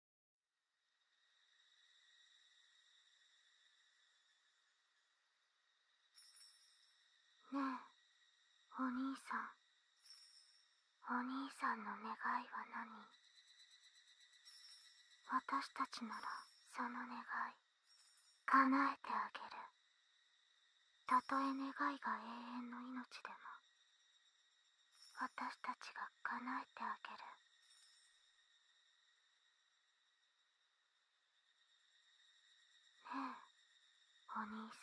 ねえお兄さんお兄さんの願いは何私たちならその願い叶えてあげるたとえ願いが永遠の命でも私たちが叶えてあげるねえお兄さ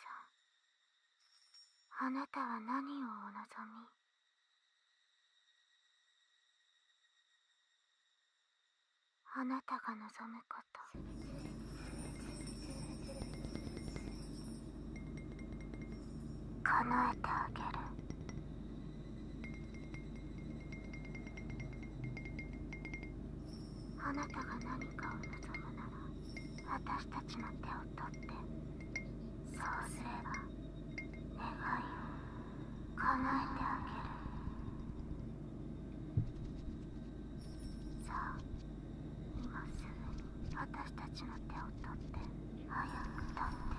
んあなたは何をお望みあなたが望むこと叶えてあげるあなたが何かを望むなら私たちの手を取ってそうすれば願いを叶えてあげるさあ今すぐに私たちの手を取って早く取って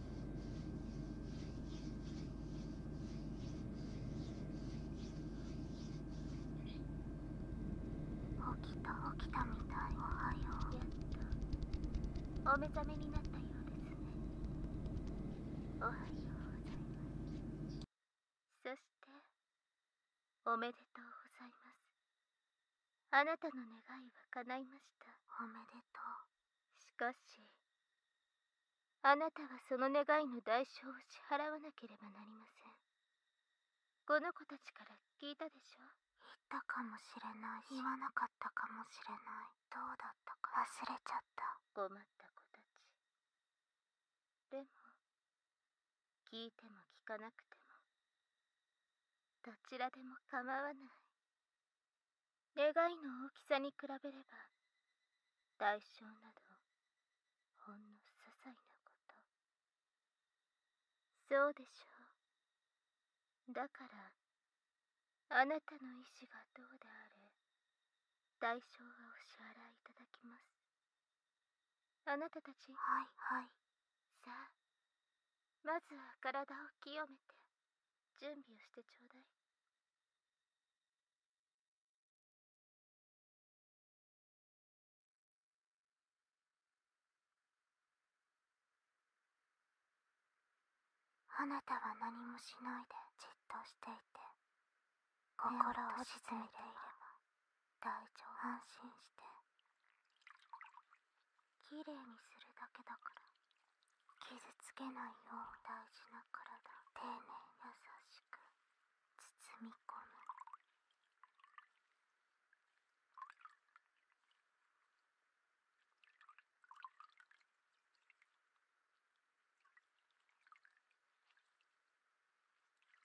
起きた起きたみたいおはようやったお目覚めになったようですねおはようございますそしておめでとうございますあなたの願いは叶いましたおめでとうしかしあなたはその願いの代償を支払わなければなりませんこの子たちから聞いたでしょ言ったかもしれない言わなかったかもしれないどうだったか忘れちゃった困った子たちでも聞いても聞かなくてもどちらでも構わない願いの大きさに比べれば代償などほんの些細なことそうでしょうだからあなたの意志がどうであれ代償はお支払いいただきますあなたたちはいはいさあまずは体を清めて準備をしてちょうだいあなたは何もしないでじっとしていて心を沈めていれば大丈夫安心して綺麗にするだけだから傷つけないよう大事な体を丁寧優しく包み込む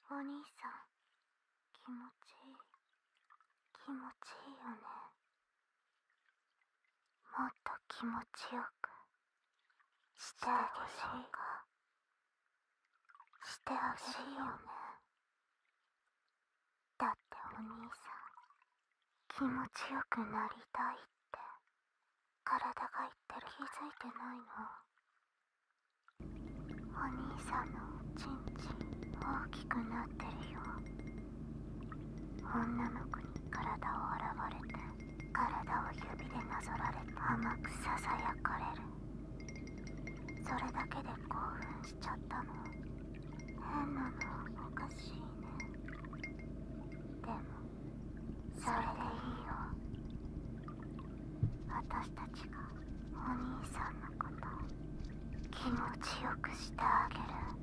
お兄さん気持ちいい気持ちいいよねもっと気持ちよくしてあげようかしてほしいよねだってお兄さん気持ちよくなりたいって体が言って気づいてないのお兄さんのおちんちん大きくなってるよ女の子に体を洗われて体を指でなぞられて甘くささやかれるそれだけで興奮しちゃったの変なのおかしいねでもそれでいいよ私たちがお兄さんのこと気持ちよくしてあげる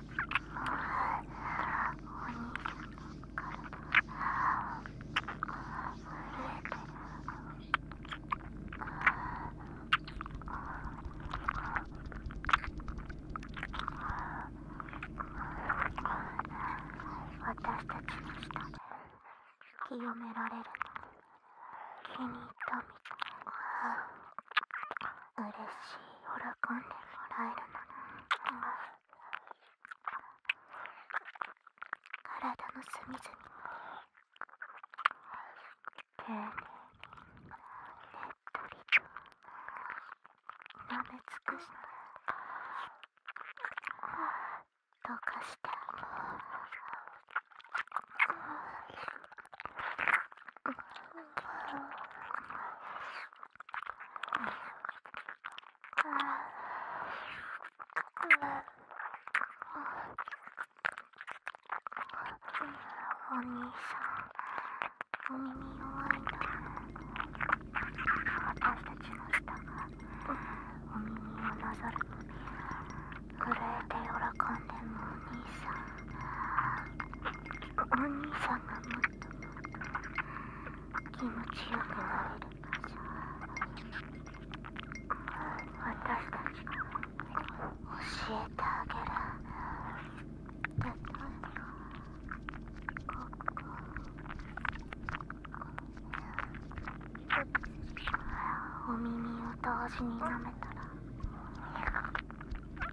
お兄さんから…震えて私たちの下で清められるの気に入ったみたい嬉しい喜んでもらえるのな、体の隅々に丁寧にねっとりと舐め尽くして溶かしてるっ、お兄さんお耳弱いな私たちの舌がお耳をなぞる震えて喜んでるお兄さんお兄さんが気持ちよくなれる場所私たちが教えてあげるお耳を同時に舐めたら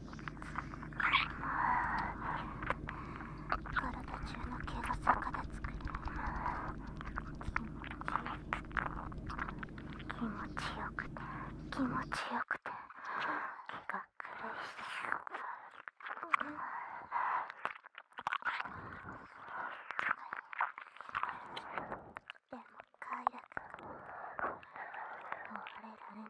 体中の毛が逆立つくらい気持ちよくて気持ちよくて気が苦しいでも快楽終われられない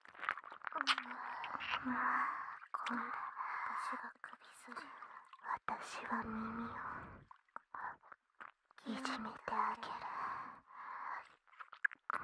今度私が首筋私は耳をいじめてあげるはは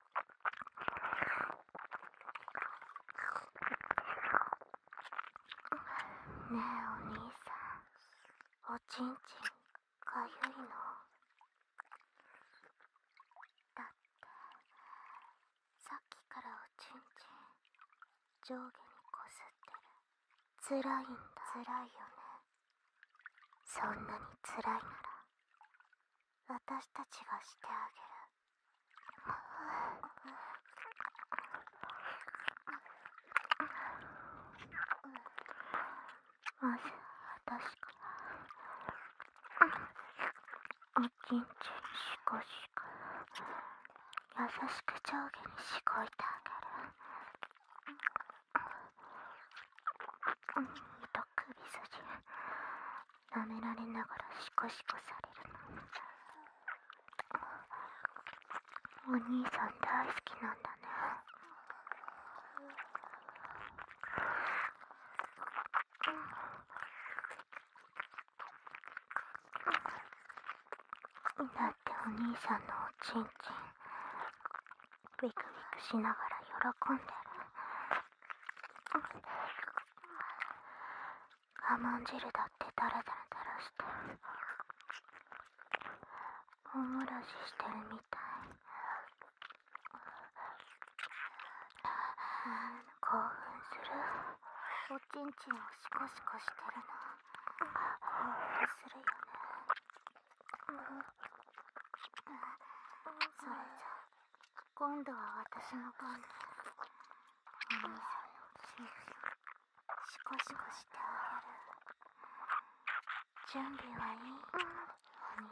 ねえお兄さんおちんちんかゆいのだってさっきからおちんちん上下にこすってるつらいんだつらいよねそんなにつらいなら私たちがしてあげるまず私からおちんちんしこしこ優しく上下にしごいてあげる、うん、と首筋舐められながらシコシコされるのお兄さん大好きなんだねだってお兄さんのおちんちんビクビクしながら喜んでる我慢汁だってダラダラダラしておもらししてるみたい興奮するおちんちんをシコシコしてるな興奮するよねそれじゃ今度は私の番だお兄さんをしシコシコしてあげる準備はいい、お兄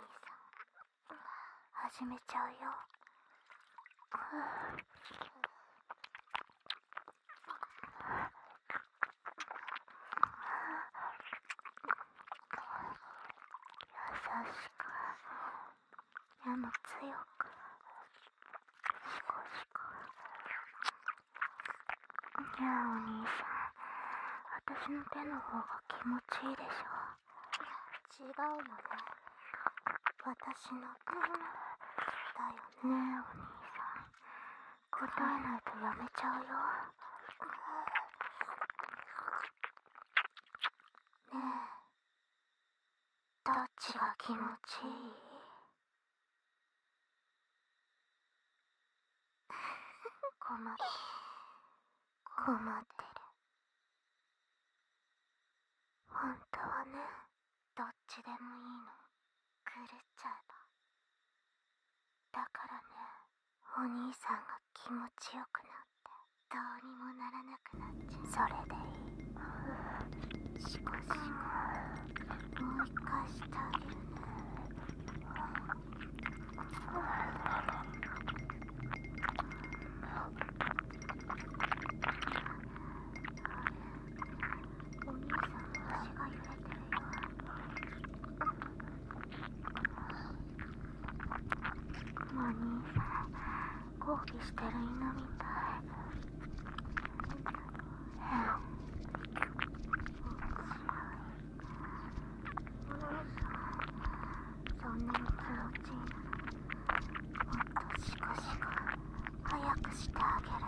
さん始めちゃうよ、うん優しくでも強く少しこういやお兄さん私の手の方が気持ちいいでしょ違うよね私の手だよねお兄さん答えないとやめちゃうよねえどっちが気持ちいい 困ってる困ってる本当はねどっちでもいいの狂っちゃえばだからねお兄さんが気持ちよくなっどうにもならなくなっちゃうそれでいいしこしこ、もう一回してあげるねお兄さん足が揺れてるよも兄さん抗議してる犬みたい変そんなに気持ちいいの。もっとシコシコ早くしてあげる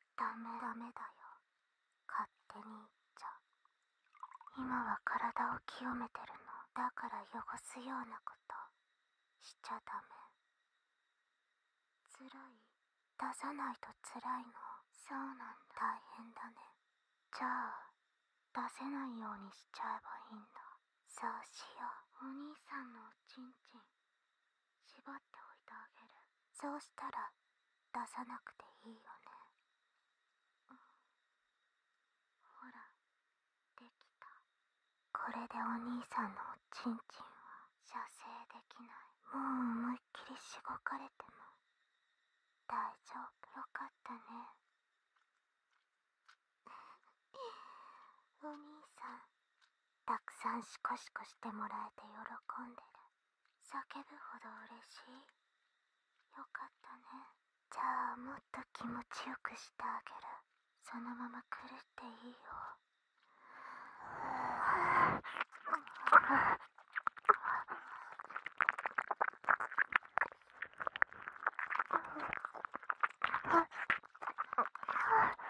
ダメダメだよ勝手に言っちゃ今は体を清めてるのだから汚すようなことしちゃダメつらい出さないとつらいのそうなんだ大変だねじゃあ出せないようにしちゃえばいいんだそうしようお兄さんのおちんちん縛っておいてあげるそうしたら出さなくていいよね、ほらできたこれでお兄さんのおちんちんは射精できないもう思いっきりしごかれても大丈夫よかったね お兄さんたくさんシコシコしてもらえて喜んでる叫ぶほど嬉しいよかったねじゃあもっと気持ちよくしてあげるそのまま来るっていいよ Huh?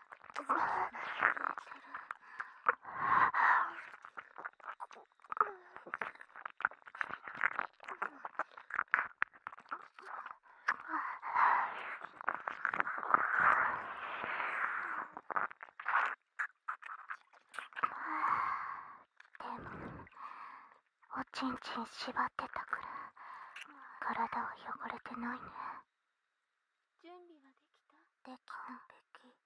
ちんちん縛ってたから体は汚れてないね準備はできたできたべき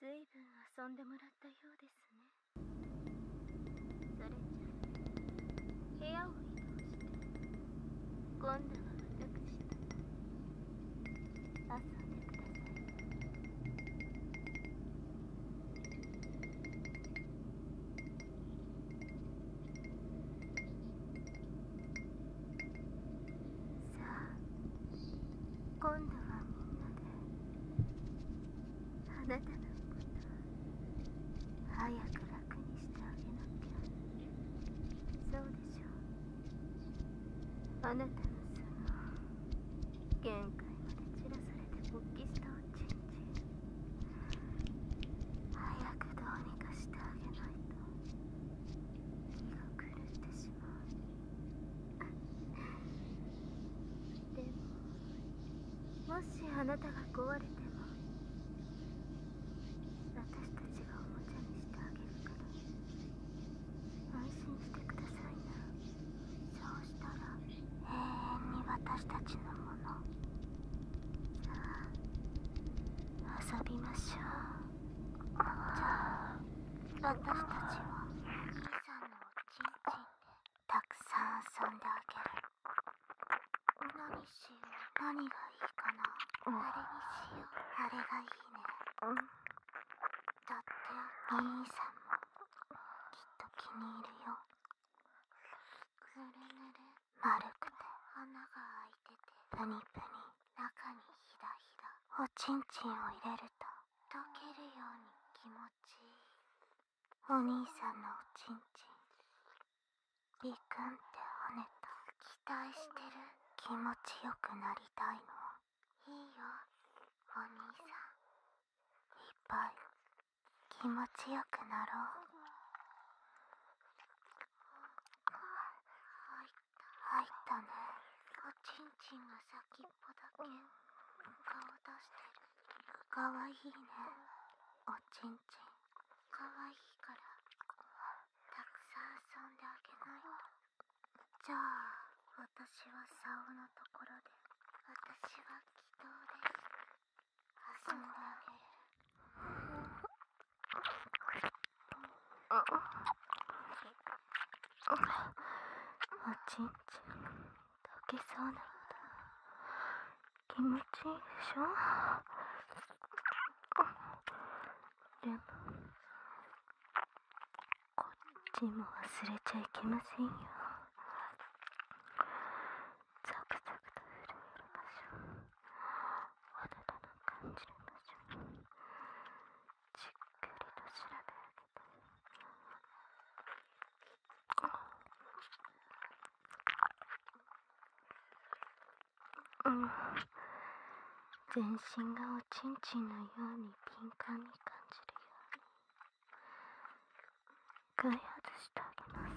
ずいぶん遊んでもらったようですねそれじゃ部屋を移動して今度は私と遊んでくださいさあ今度はみんなであなたのこと早く楽にしてあげなきゃそうでしょうあなたのその限界まで散らされて勃起したおちんちん早くどうにかしてあげないとでももしあなたが壊れても私たちがおもちゃにしてあげるから安心してくださいなそうしたら永遠に私たちのもの遊びましょう私たちは兄さんのおちんちんでたくさん遊んであげる何しよ何がいいかなあれにしようあれがいいねだって兄さんもきっと気に入るよぬれぬれ丸くて花が開いててプニプニ中にひだひだおちんちんを入れると溶けるように気持ちいいお兄さんのおちんちんビくんって跳ねた期待してる気持ちよくなりたいのいいよお兄さんいっぱい気持ちよくなろうい…入ったねおちんちんが先っぽだけ顔出してるかわいいねおちんちんかわいいからたくさん遊んであげないとじゃあ私は竿のところで私は祈祷です遊んであげるっ…おちんちん溶けそうなんだ気持ちいいでしょでもこっちも忘れちゃいけませんよザクザクと震える場所わだかな感じる場所にじっくりと調べ上げてうん全身がおちんちんのように敏感に感じるように外発してあげます。うん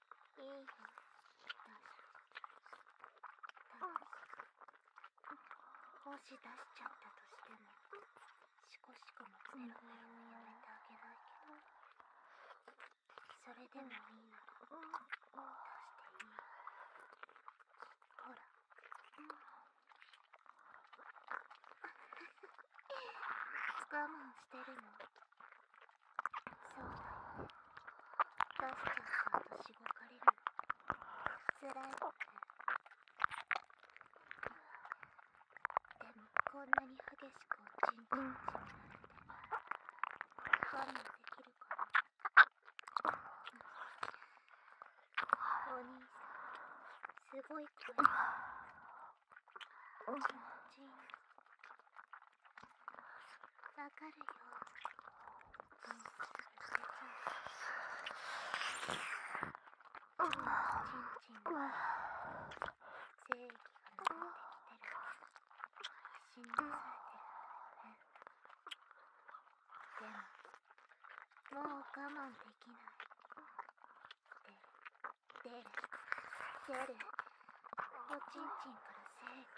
いいよどうぞもし出しちゃったとしてもしこしこも全ロやめてあげないけどそれでもいいなら出していいほら我慢してるのそうだよねバスターさとしごかれるのつらいってでもこんなに激しくおちんちんちんなんて我慢できるかなお兄さんすごい声ちいんちんわかるよ。うん、ちんちんが…精液が抜てきてる。死んされてるでも、もう我慢できない。出る、出る。おちんちんから精液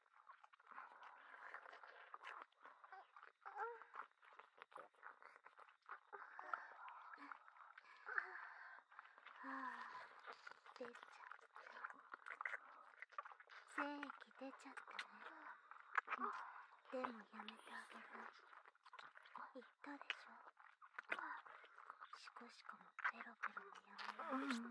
出ちゃった精液出ちゃったね、でもやめてあげる言ったでしょしこしこもペロペロもやめようにして、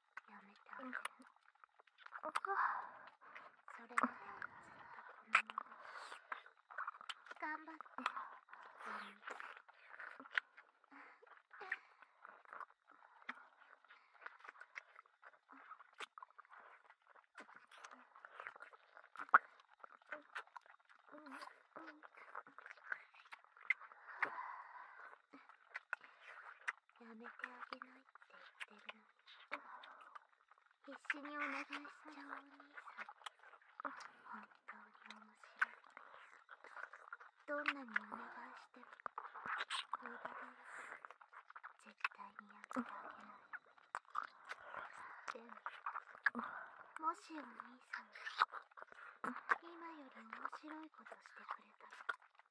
やめてあげる、うん、それがずっとこの頑張ってやめてあげないって言ってるのに必死にお願いしちゃうお兄さん本当に面白いどんなにお願いしても無駄だよ絶対にやってあげないでももしお兄さんが今より面白いことしてくれたら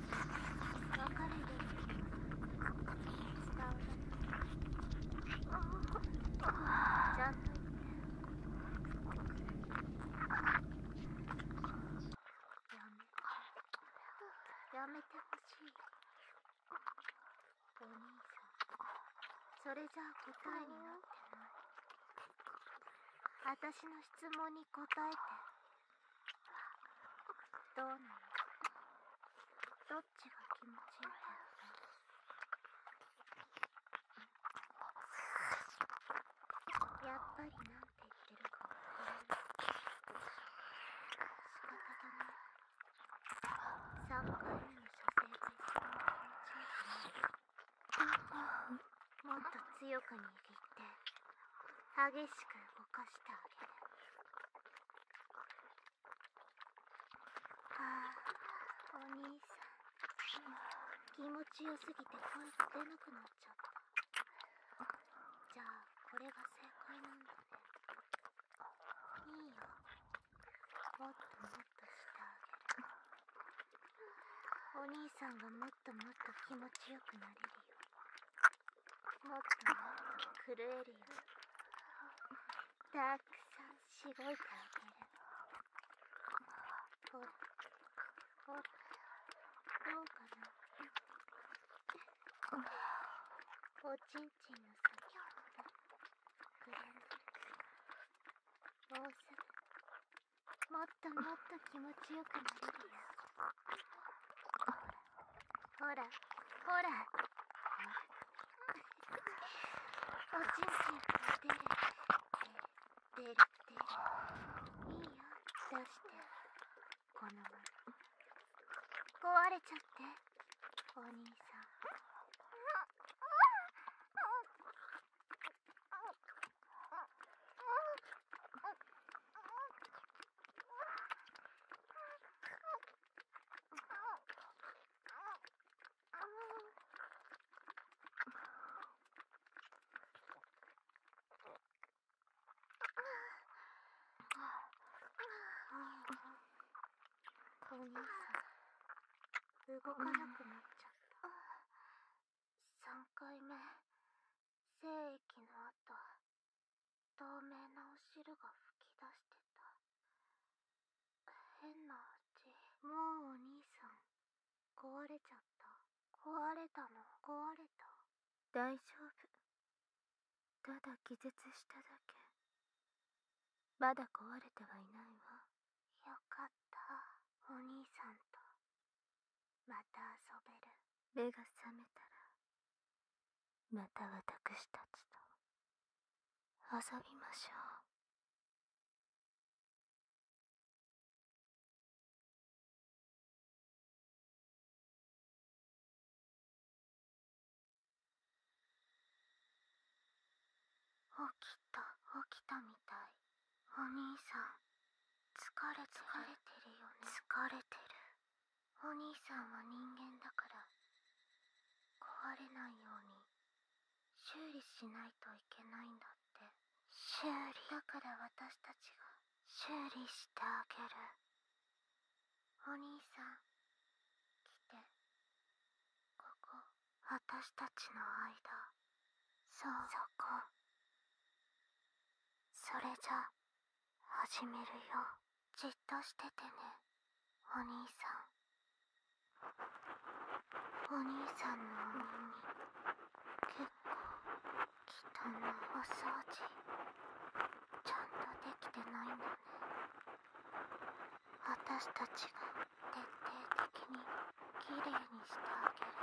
る伝わちゃんん、と言って。て。てややめめほしい。お兄さそれじゃあ答えになってないしの質問に答えてどうなのどっちが気持ちいいんだろうやっぱりなんて言ってるかわ仕方がない3回目の射精で一番気持ちいいかなもっと強く握って激しく動かしてあげるああお兄さん気持ちよすぎて声が出なくなっちゃったじゃあこれが正解なんだねいいよもっともっとしてあげるお兄さんがもっともっと気持ちよくなれるよもっともっと震えるよたくさんしごいてあげるほらほらどうかなおちんちんの先ほど膨らんでるもうすぐもっともっと気持ちよくなれるよほらほらおちんちん出る出る出る出いいよ出してこのまま壊れちゃってお兄さんお兄さん動かなくなっちゃった、うん、3回目精液の後透明なお汁が噴き出してた変な味もうお兄さん壊れちゃった壊れたの壊れた大丈夫ただ気絶しただけまだ壊れてはいないわよかったお兄さんとまた遊べる目が覚めたらまたわたくしたちと遊びましょう。起きた起きたみたいお兄さん疲れ疲れてるよ疲れてるお兄さんは人間だから壊れないように修理しないといけないんだって修理だから私たちが修理してあげるお兄さん来てここ私たちの間そうそこそれじゃ始めるよじっとしててねお兄さんお兄さんのお耳結構汚いお掃除ちゃんとできてないんだね私たちが徹底的にきれいにしてあげる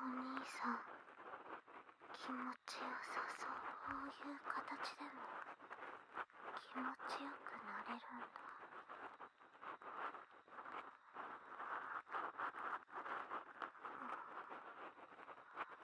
お兄さん気持ちよさそうこういう形でも気持ちよくなれるんだ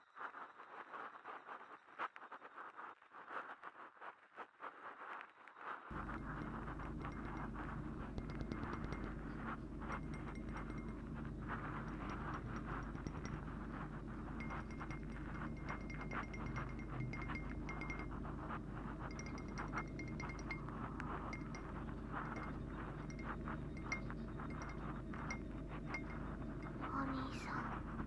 お兄さん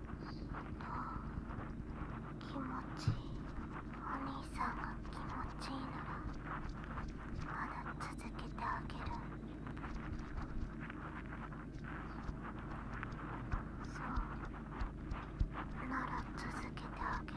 気持ちいいお兄さんが気持ちいいならまだ続けてあげるそうなら続けてあげる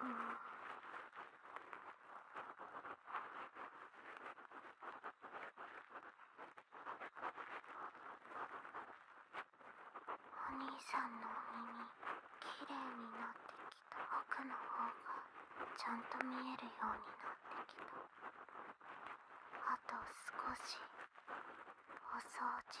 うん。お兄さんのお耳きれいになってきた奥の方がちゃんと見えるようになってきたあと少しお掃除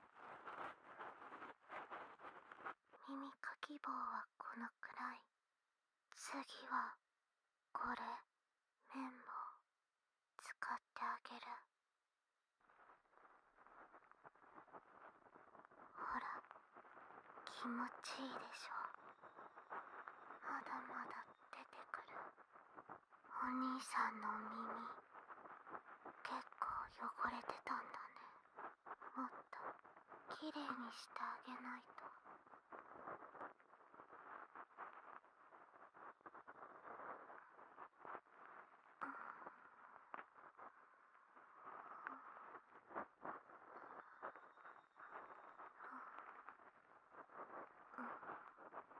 耳かき棒はこのくらい次はこれ綿棒使ってあげるほら気持ちいいでしょまだまだ出てくる。お兄さんのお耳結構汚れてたんだねもっときれいにしてあげないとん、うん。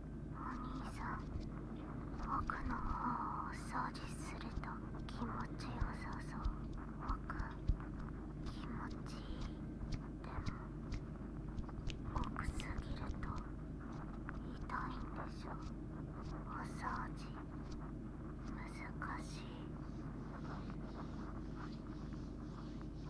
お兄さん僕の方をお掃除すると気持ちよさそう僕気持ちいいでも奥すぎると痛いんでしょお掃除難しい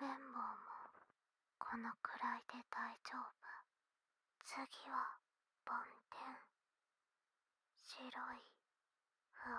綿棒もこのくらいで大丈夫次は梵天白いふわふわ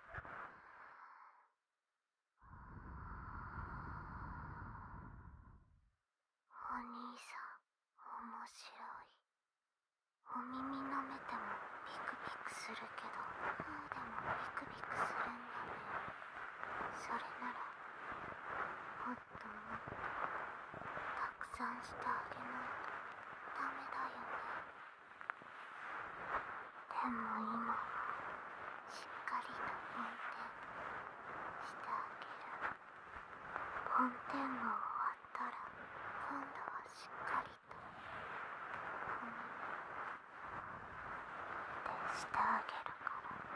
お兄さん面白いお耳舐めてもビクビクするけどフーでもビクビクするんだねそれならもっともっとたくさんしてあげないとダメだよねでも今はしっかりと梵天してあげる梵天が終わったら今度はしっかりとお耳っしてあげるから。うんうん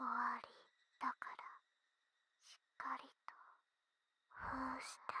終わりだからしっかりと封してあげる。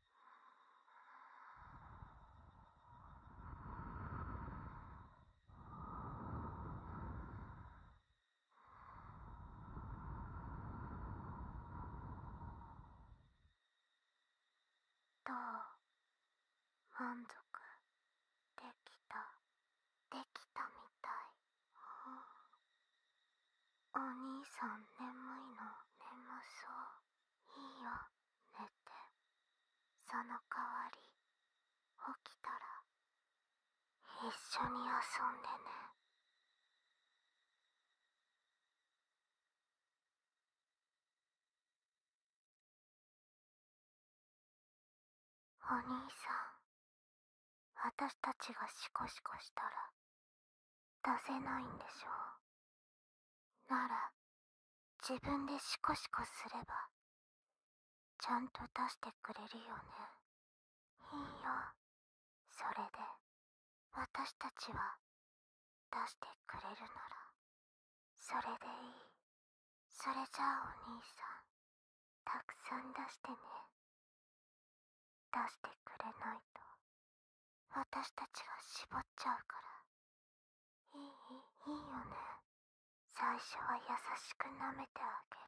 どう満足できたできたみたい、お兄さん眠いの眠そういいよ寝てその代わり起きたら一緒に遊んでねお兄さん私たちがシコシコしたら出せないんでしょう。なら、自分でシコシコすれば、ちゃんと出してくれるよね。いいよ。それで、私たちは、出してくれるなら、それでいい。それじゃあお兄さん、たくさん出してね。出してくれないと。私たちは絞っちゃうからいいいいよね最初は優しく舐めてあげる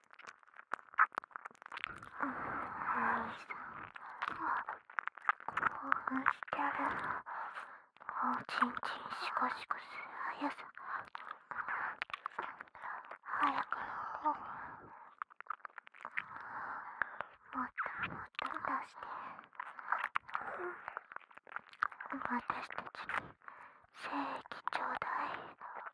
さ…さんもも興奮ししてて…る…るシシココす速っっとと出私たちに精液ちょうだい。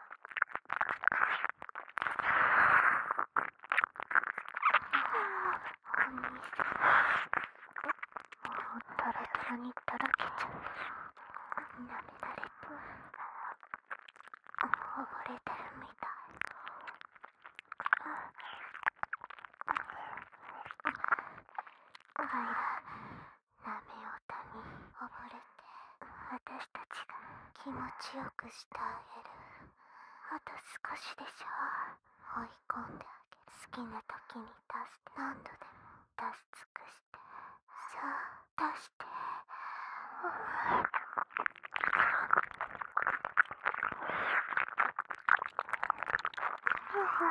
もタラタラにとろけちゃっうなめられておるから、溺れてるみたいあい波音に溺れて私たちが気持ちよくしてあげるあと少しでしょ追い込んであげる好きな時に出す。何度でも出し尽くしてさあ出して Oh.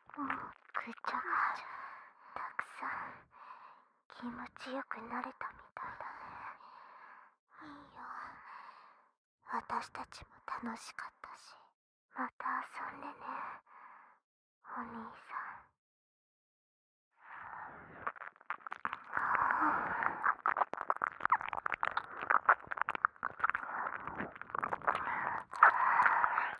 もうぐちゃぐちゃたくさん気持ちよくなれたみたいだねいいよ私たちも楽しかったしまた遊んでねお兄さん